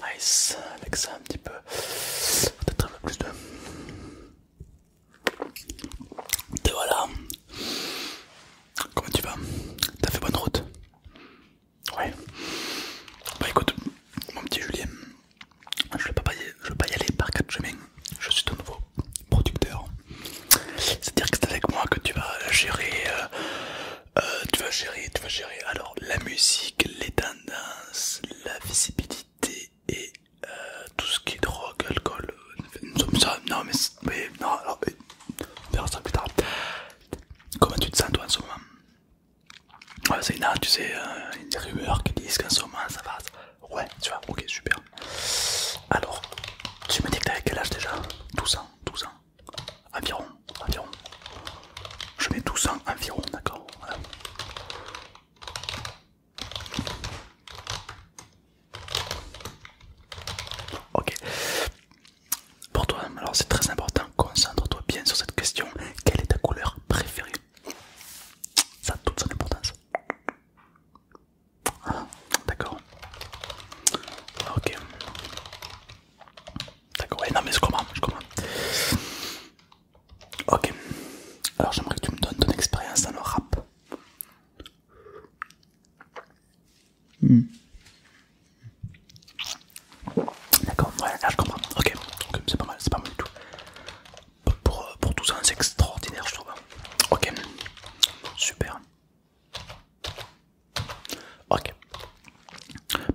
Nice, avec ça un petit peu, peut-être un peu plus de... Te voilà. Comment tu vas T'as fait bonne route Ouais. Bah écoute, mon petit Julien, je ne vais, vais pas y aller par quatre chemins je suis ton nouveau producteur. C'est-à-dire que c'est avec moi que tu vas gérer, euh, euh, tu vas gérer, tu vas gérer. Alors la musique, les tendances, la visibilité et euh, tout ce qui est drogue, alcool. ça plus Comment tu te sens toi en ce moment c'est c'est là, tu sais, il y a des rumeurs qui disent qu'en ce moment ça va, Ouais, tu vois, ok, super. Alors, tu me dis que t'avais quel âge déjà 12 ans, 12 ans. Environ, environ. Je mets 12 ans environ, d'accord Ok. Pour toi, alors c'est très important, concentre-toi bien sur cette question. Quelle est ta couleur préférée Ça a toute son importance. Ah, d'accord. Ok. D'accord, eh, non mais je comprends, je comprends. Ok. Alors j'aimerais que tu me donnes ton expérience dans le rap. Hmm. D'accord, ouais, là je comprends. Ok, c'est pas mal, c'est pas mal du tout. Euh, pour, tout ça, c'est extraordinaire, je trouve. Ok, super. Ok.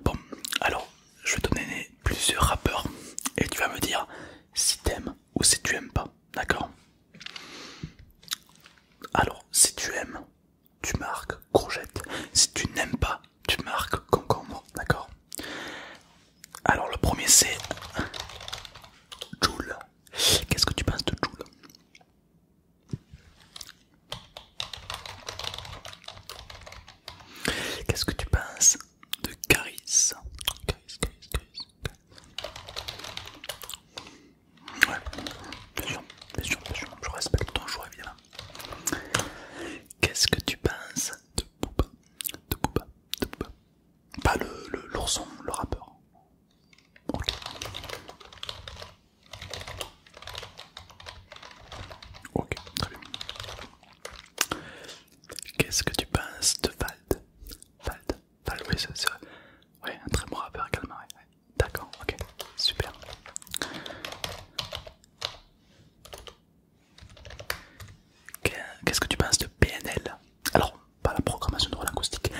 Bon, alors, je vais te donner plusieurs rappeurs et tu vas me dire si t'aimes ou si tu aimes pas, d'accord Alors, si tu aimes, tu marques courgette. Si tu n'aimes pas, tu marques concombre, d'accord Alors, le premier c'est Joule Qu'est-ce que tu penses de Jules Qu'est-ce que tu penses de Caris Caris, Caris, Caris. Ouais, bien sûr, bien sûr, bien sûr. Je respecte ton choix évidemment. Qu'est-ce que tu penses de Booba De Booba, de Pas le l'ourson, le rappeur. Ok, très bien. Qu'est-ce que tu penses de Vald Vald Vald, oui, c'est vrai. Oui, un très bon rappeur également. D'accord, ok, super. Qu'est-ce que tu penses de PNL Alors, pas la programmation acoustique,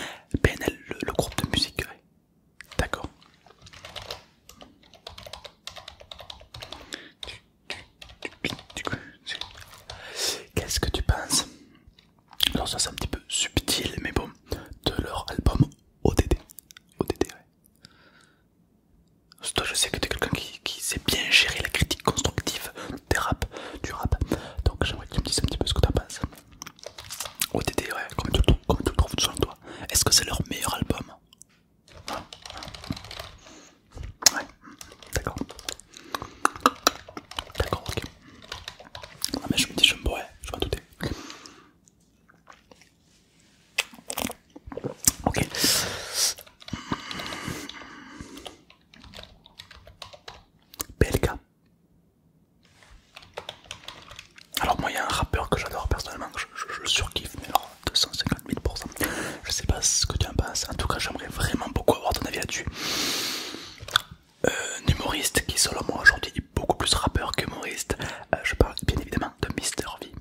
PNL, le, groupe de musique. D'accord. Qu'est-ce que tu penses Alors ça c'est un petit peu subtil, mais bon, de leur album ODD. Toi je sais que tu es quelqu'un qui, qui sait bien gérer la critique constructive, des rap, du rap. Donc j'aimerais que tu me dises un petit peu ce que t'en penses. OTT, ouais, comme tu le, comme tu le trouves selon toi. Est-ce que c'est leur meilleur album Ouais, d'accord. D'accord, ok. non ah, mais je me dis, je me bois, je m'en doutais. Ok. PLK, alors moi il y a un rappeur que j'adore personnellement, je, le surkiffe mais alors 250 000%. Je sais pas ce que tu en penses, en tout cas j'aimerais vraiment beaucoup avoir ton avis là-dessus. Euh, un humoriste qui selon moi aujourd'hui est beaucoup plus rappeur qu'humoriste, euh, je parle bien évidemment de Mister V.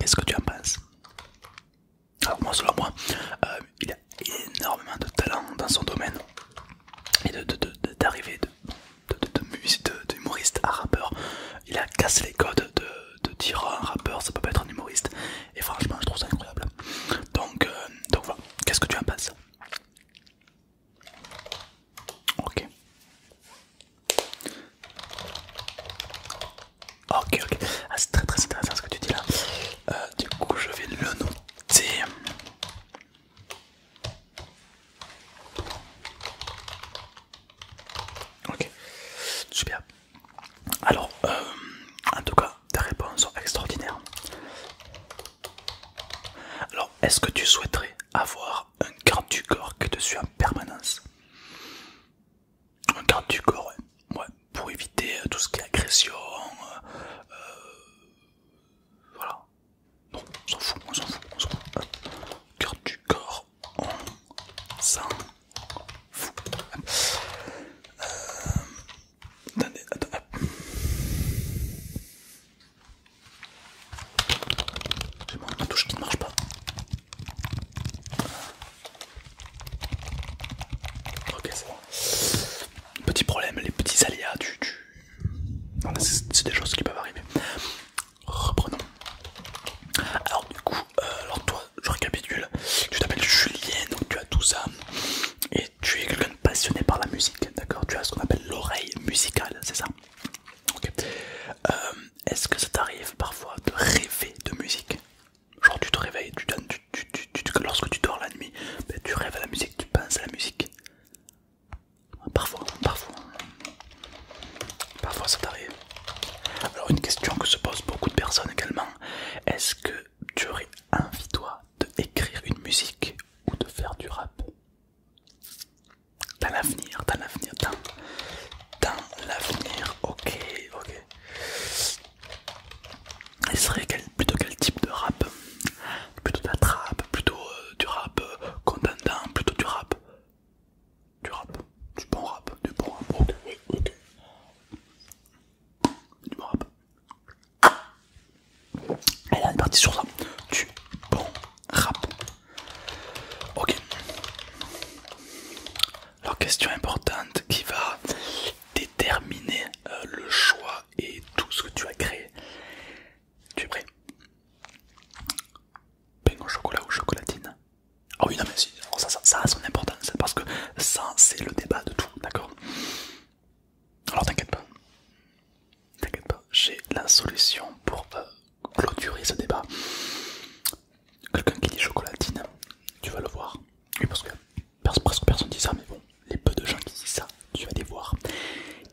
Qu'est-ce que tu en penses alors moi selon moi, euh, il, a, énormément de talent dans son domaine et d'arriver de, de, d'humoriste à rappeur. Il a cassé les codes de, de dire un rappeur, ça peut pas être un humoriste. Et franchement, je trouve ça incroyable. Donc, euh, donc voilà, qu'est-ce que tu en penses Ok. Ok, ok. Ah, c'est très très intéressant ce que tu dis là. Euh, du coup, je vais le nom c'est... Ok, super. Alors, euh, en tout cas, ta réponse sont extraordinaires. Alors, est-ce que tu souhaiterais avoir un quart du corps qui te suit en permanence Un quart du corps, ouais pour éviter euh, tout ce qui est agression. Euh, euh, voilà. Non, on s'en fout, on s'en fout, on s'en fout. du corps, on s'en fout. attendez, attends, J'ai mon touche qui ne marche pas. Ok, c'est bon. Petit problème, les petits aléas tu, ah, C'est des choses qui peuvent arriver. Reprenons. Alors, du coup, euh, alors toi, je récapitule. Tu t'appelles Julien, donc tu as tout ça. Et tu es quelqu'un de passionné par la musique, d'accord Tu as ce qu'on appelle l'oreille musicale, c'est ça euh, Est-ce que ça t'arrive parfois de rêver de musique Genre, tu te réveilles, tu donnes tu, tu, lorsque tu dors la nuit, ben, tu rêves à la musique, tu penses à la musique. Parfois, parfois. Parfois ça t'arrive. Alors une question que se posent beaucoup de personnes également, est-ce que tu aurais envie toi de écrire une musique ou de faire du rap Dans l'avenir, dans l'avenir, dans, dans l'avenir, ok, ok. Il serait plutôt quel type de rap Plutôt de la trappe, plutôt euh, du rap euh, contentant plutôt du rap. Du rap, du bon rap, du bon rap. Ok, ok. Du bon rap. elle a une partie sur ça. Du bon rap. Ok. Alors, question importante qui va déterminer euh, le choix et tout ce que tu as créé. Tu es prêt Pain au chocolat ou chocolatine Ah oui, non mais si, ça, ça, a son importance, parce que ça c'est le débat de tout, d'accord Alors t'inquiète pas, t'inquiète pas, j'ai la solution pour euh, clôturer ce débat. Quelqu'un qui dit chocolatine, tu vas le voir. Oui, parce que presque personne dit ça, mais bon, les peu de gens qui disent ça, tu vas les voir.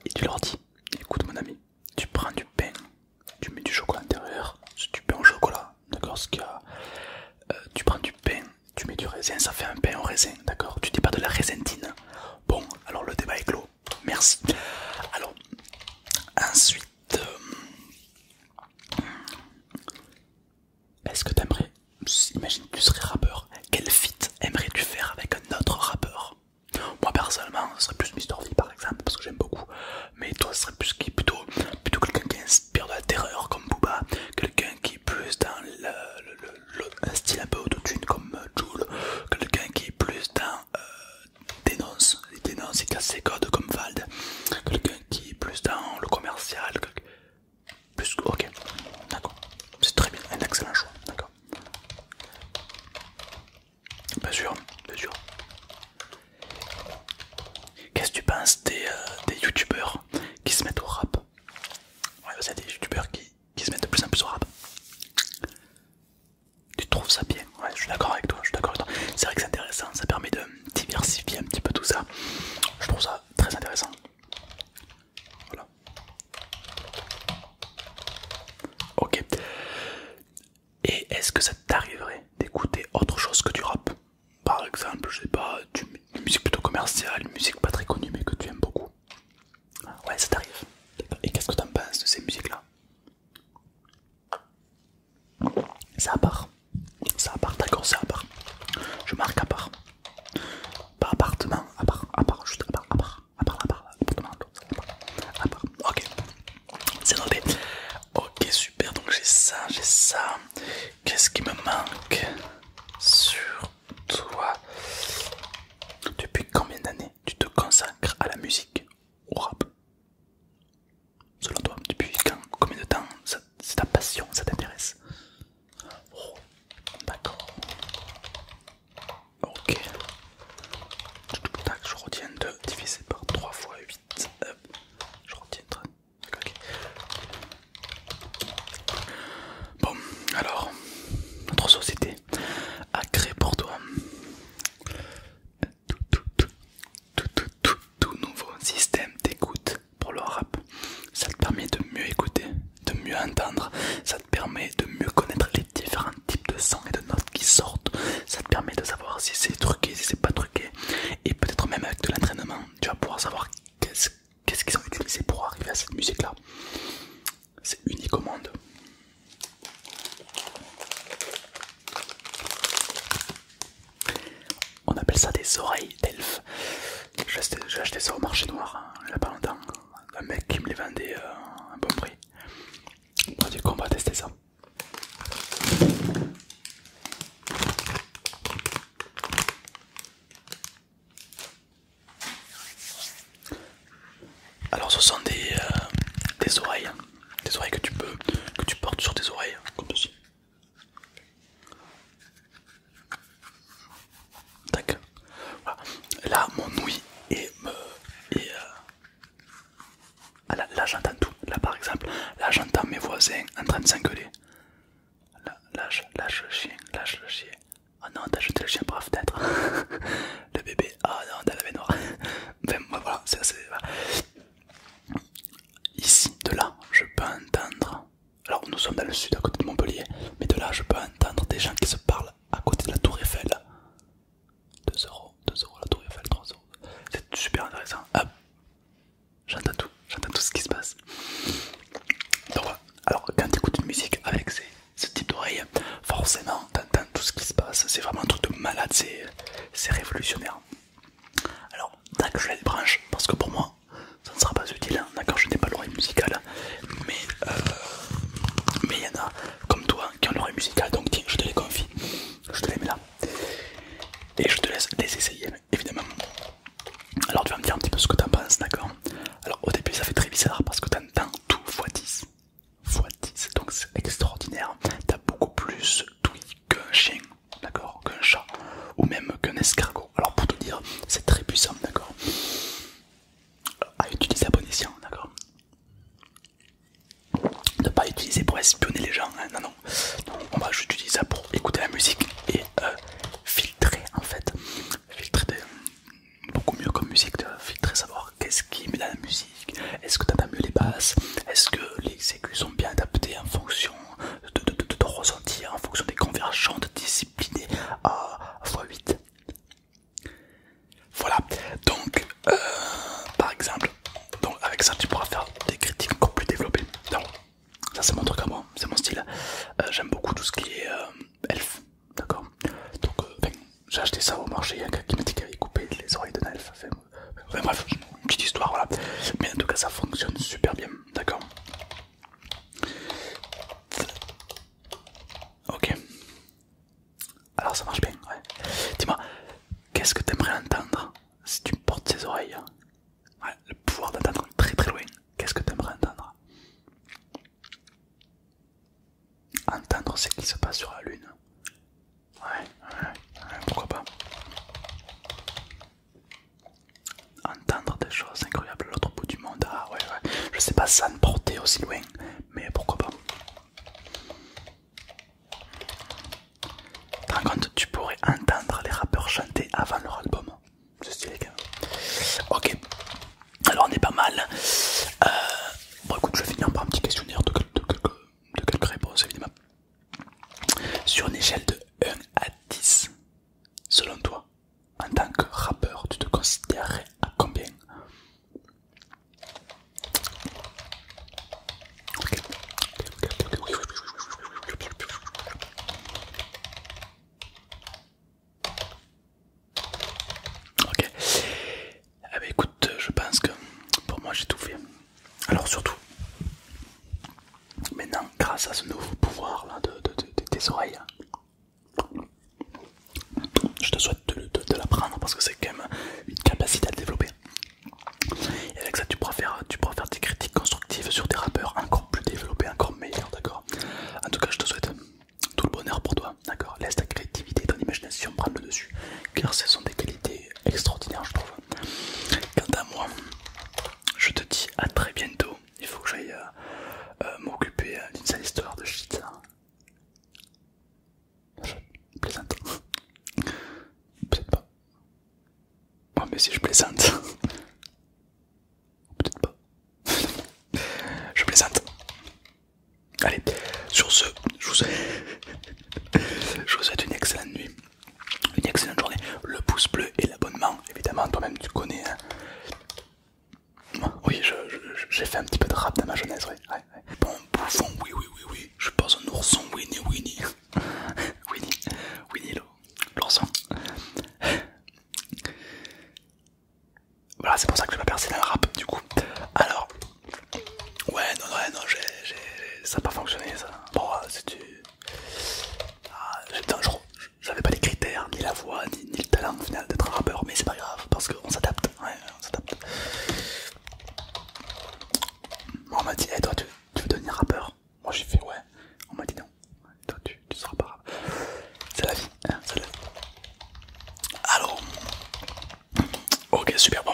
Et tu leur dis, écoute mon ami, tu prends du pain, tu mets du chocolat intérieur c'est du pain au chocolat, d'accord Ce qu'il euh, tu prends du pain, tu mets du raisin, ça fait un pain au raisin, d'accord Tu dis pas de la raisentine. Bon, alors le débat est clos, merci. Alors, ensuite, euh, est-ce que t'aimerais, imagine tu serais rappeur, quel feat aimerais-tu faire avec un autre rappeur Moi personnellement, ce serait plus Mr V par exemple, parce que j'aime beaucoup, mais toi ce serait plus qui plutôt, plutôt quelqu'un qui inspire de la terreur comme Booba, quelqu'un qui est plus dans le, un style un peu autotune comme euh, Joule, quelqu'un qui est plus dans euh, dénonce, il dénonce, et casse ses codes comme Vald, quelqu'un qui est plus dans le commercial, plus Ok, d'accord. C'est très bien, un excellent choix, d'accord. Bien sûr, bien sûr. Qu'est-ce que tu penses euh, des, youtubeurs qui se mettent au rap Ouais, c'est des youtubeurs qui, qui se mettent de plus en plus au rap. Tu trouves ça bien Ouais, je suis d'accord avec toi, je suis d'accord avec toi. C'est vrai que c'est intéressant, ça permet de diversifier un petit peu tout ça. Je trouve ça très intéressant. Voilà. Ok. Et est-ce que ça t'arriverait d'écouter autre chose que du rap Par exemple, je sais pas, une musique plutôt commerciale, une musique pas très connue mais que tu aimes beaucoup. Ah, ouais, ça t'arrive. Et qu'est-ce que t'en penses de ces musiques-là Ça part. Ça à part, d'accord, ça à part. Je marque à part. Par appartement, à part, juste à part, à part, à part, à part, appartement, à part, ok, c'est noté. Ok, super, donc j'ai ça, j'ai ça. Qu'est-ce qui me manque sur toi Depuis combien d'années tu te consacres à la musique, au rap Selon toi, depuis combien de temps c'est ta passion, ça t'intéresse Oh, d'accord. Ok. je retiens 2 divisé par 3 fois 8. Je retiens 3 Bon, alors, notre société a créé pour toi tout, tout nouveau système d'écoute pour le rap. Ça te permet de mieux écouter, de mieux entendre, ça te permet de mieux connaître les différents types de sons et de notes qui sortent, ça te permet de savoir si c'est truqué, si c'est pas truqué, et peut-être même avec de l'entraînement, tu vas pouvoir savoir qu'est-ce qu'ils ont utilisé pour arriver à cette musique-là. C'est unique au monde. On appelle ça des oreilles d'elfe. J'ai acheté, ça au marché noir, hein, il n'y a pas longtemps. Un mec qui me les vendait euh, à un bon prix. du coup, on va tester ça. Alors, ce sont des, euh, des oreilles, des oreilles que tu peux, que tu portes sur tes oreilles, comme ceci. Là, mon ouïe et me. Et, euh, ah, là, j'entends tout. Là, par exemple, là, j'entends mes voisins en train de s'engueuler. Là, lâche, lâche le chien, lâche le chien. Oh ah non, t'as jeté le chien par la fenêtre. le bébé, oh non, t'as la baignoire. ben, voilà, c'est Ici, de là, je peux entendre alors nous sommes dans le sud à côté de Montpellier, mais de là je peux entendre des gens qui se parlent à côté de la tour Eiffel. 2 euros, 2 euros la tour Eiffel, 3 euros. C'est super intéressant. j'entends tout, j'entends tout ce qui se passe. alors quand tu écoutes une musique avec ces, ce type d'oreille, forcément entends tout ce qui se passe. C'est vraiment un truc de malade, c'est révolutionnaire. Alors, d'accord, je la débranche parce que pour moi, ça ne sera pas utile, hein. d'accord Je n'ai pas l'oreille musicale, mais euh, il y en a comme toi qui ont l'oreille musicale, donc tiens, je te les confie, je te les mets là, et je te laisse les essayer, évidemment. Alors tu vas me dire un petit peu ce que tu t'en penses, d'accord Alors au début ça fait très bizarre parce que tu entends tout x10, 10 donc c'est extraordinaire, tu as beaucoup plus d'ouïe qu'un chien, d'accord Qu'un chat, ou même qu'un escargot alors pour te dire, c'est très puissant, d'accord À utiliser à bon escient, d'accord Ne pas utiliser pour espionner les gens, hein, non, non, On va juste utiliser ça pour écouter la musique et euh, filtrer en fait. Filtrer beaucoup mieux comme musique, filtrer, savoir qu'est-ce qui met dans la musique. Est-ce que t'entends mieux les basses Est-ce que les exécutions sont bien adaptées en fonction de, ressentir, en fonction des convergentes disciplinées à x8. Voilà, donc euh, par exemple, donc avec ça tu pourras faire des critiques encore plus développées. Non. Ça c'est mon truc à moi, c'est mon style. Euh, j'aime beaucoup tout ce qui est euh, elf, d'accord Donc j'ai acheté ça au marché, un gars qui m'a dit qu'il avait coupé les oreilles d'un elf. Enfin, bref, une petite histoire, voilà. Mais en tout cas ça fonctionne super bien, d'accord Ok. Alors ça marche bien, ouais. Dis-moi, qu'est-ce que t'aimerais entendre si tu portes ses oreilles Ouais, le pouvoir d'entendre très très loin. Qu'est-ce que tu aimerais entendre Entendre ce qui se passe sur la lune. Ouais, ouais, ouais, pourquoi pas entendre des choses incroyables à l'autre bout du monde. Ah ouais, ouais, je sais pas ça ne portait aussi loin, mais pourquoi pas. tu pourrais entendre les rappeurs chanter avant leur album. C'est stylé les Ok, alors on est pas mal. Euh, bon, écoute, je vais finir par un petit questionnaire de, de quelques réponses évidemment. Sur une échelle de 1 à 10, selon toi, en tant que rappeur, tu te considérerais à combien Ok. ok. Eh ben, écoute, je pense que pour moi j'ai tout fait. Alors surtout, Maintenant, grâce à ce nouveau pouvoir de, tes oreilles, je te souhaite de, l'apprendre parce que c'est quand même une capacité à le développer. Et avec ça, tu pourras, faire, tu pourras faire des critiques constructives sur des rappeurs encore plus développés, encore meilleurs, d'accord En tout cas, je te souhaite tout le bonheur pour toi, d'accord Laisse ta créativité et ton imagination prendre le dessus, car ce sont des qualités extraordinaires, je trouve. Quant à moi, je te dis à très bientôt il faut que j'aille euh, euh, m'occuper euh, d'une sale histoire de shit. Je plaisante. Peut-être pas. Oh, mais si je plaisante. Peut-être pas. je plaisante. Allez, sur ce, je vous, souhaite... une excellente nuit, une excellente journée. Le pouce bleu et l'abonnement, évidemment, toi-même tu connais. Hein. Oui, j'ai fait un petit peu de rap dans ma jeunesse, Bon bouffon, oui, oui, oui, oui. Je pense un ourson, Winnie, Winnie. Winnie, Winnie l'ourson. Voilà, c'est pour ça que je vais pas rap, du coup. Alors, ouais, non, non, non, ça n'a pas fonctionné, ça. Bon, euh, c'est du... Ah, j'ai je, j'avais pas les critères, ni la voix, ni, le talent final d'être un rappeur, mais c'est pas grave parce qu'on s'adapte. on s'adapte. m'a dit, eh toi tu, veux devenir rappeur Moi j'ai fait ouais. On m'a dit non, toi tu, tu seras pas rappeur. C'est la vie, hein, Alors, ok super bon,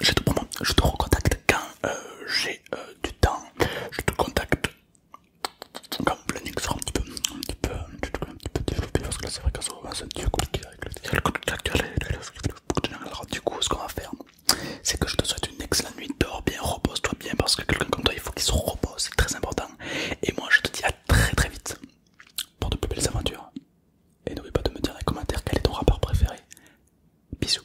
je te recontacte quand euh, j'ai euh, du temps, je te contacte comme le Nick sera un petit peu, un petit peu, un petit peu, développé parce que là c'est vrai qu'à ce moment c'est un petit peu compliqué avec le truc. Alors du coup ce qu'on va faire c'est que je te souhaite une excellente nuit, dors bien, repose-toi bien parce que quelqu'un comme toi il faut qu'il se repose, c'est très important. Et moi je te dis à très très vite pour de plus belles aventures. Et n'oublie pas de me dire dans les commentaires quel est ton rappeur préféré. Bisous.